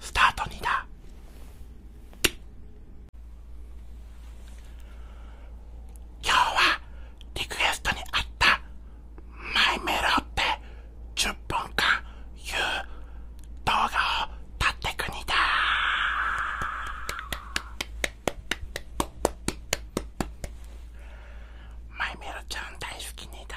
スタートにだ今日はリクエストにあったマイメロって10本間言う動画を撮ってくにだマイメロちゃん大好きにだ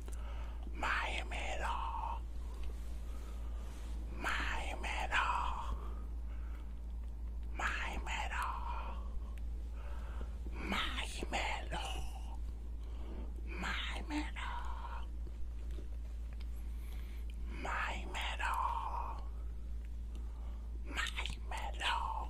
my metal, my metal, my metal, my metal, my metal, my metal, my metal.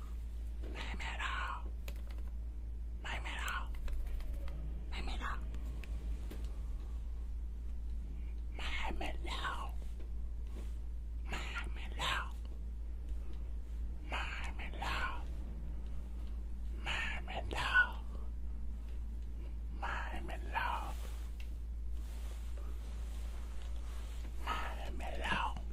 Name it out. Name it out. Name it out. Name it out. Name it out. Name it out. Name it out. Name it out. Name it out.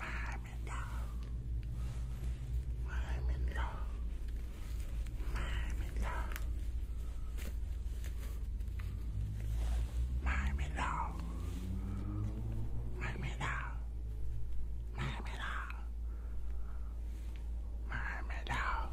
I'm in love. I'm in love. I'm in love. I'm in love. I'm in love. I'm in love. I'm in love.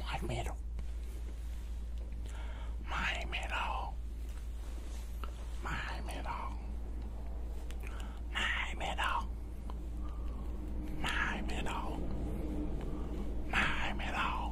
My middle. My middle. My middle. My middle. My middle. My middle.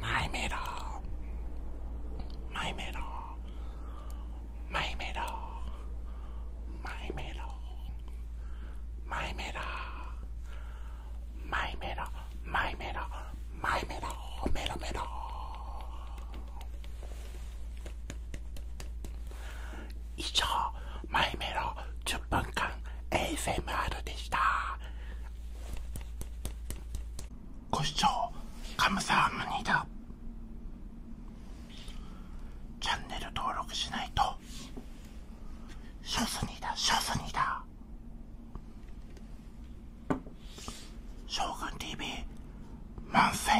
マイメロマイメロマイメロマイメロマイメロマイメロマイメロマイメロメロメロ以上マイメロ10分間 ASMR でしたご視聴カムサハムニだチャンネル登録しないとショスニだショスニだ将軍 TV 万世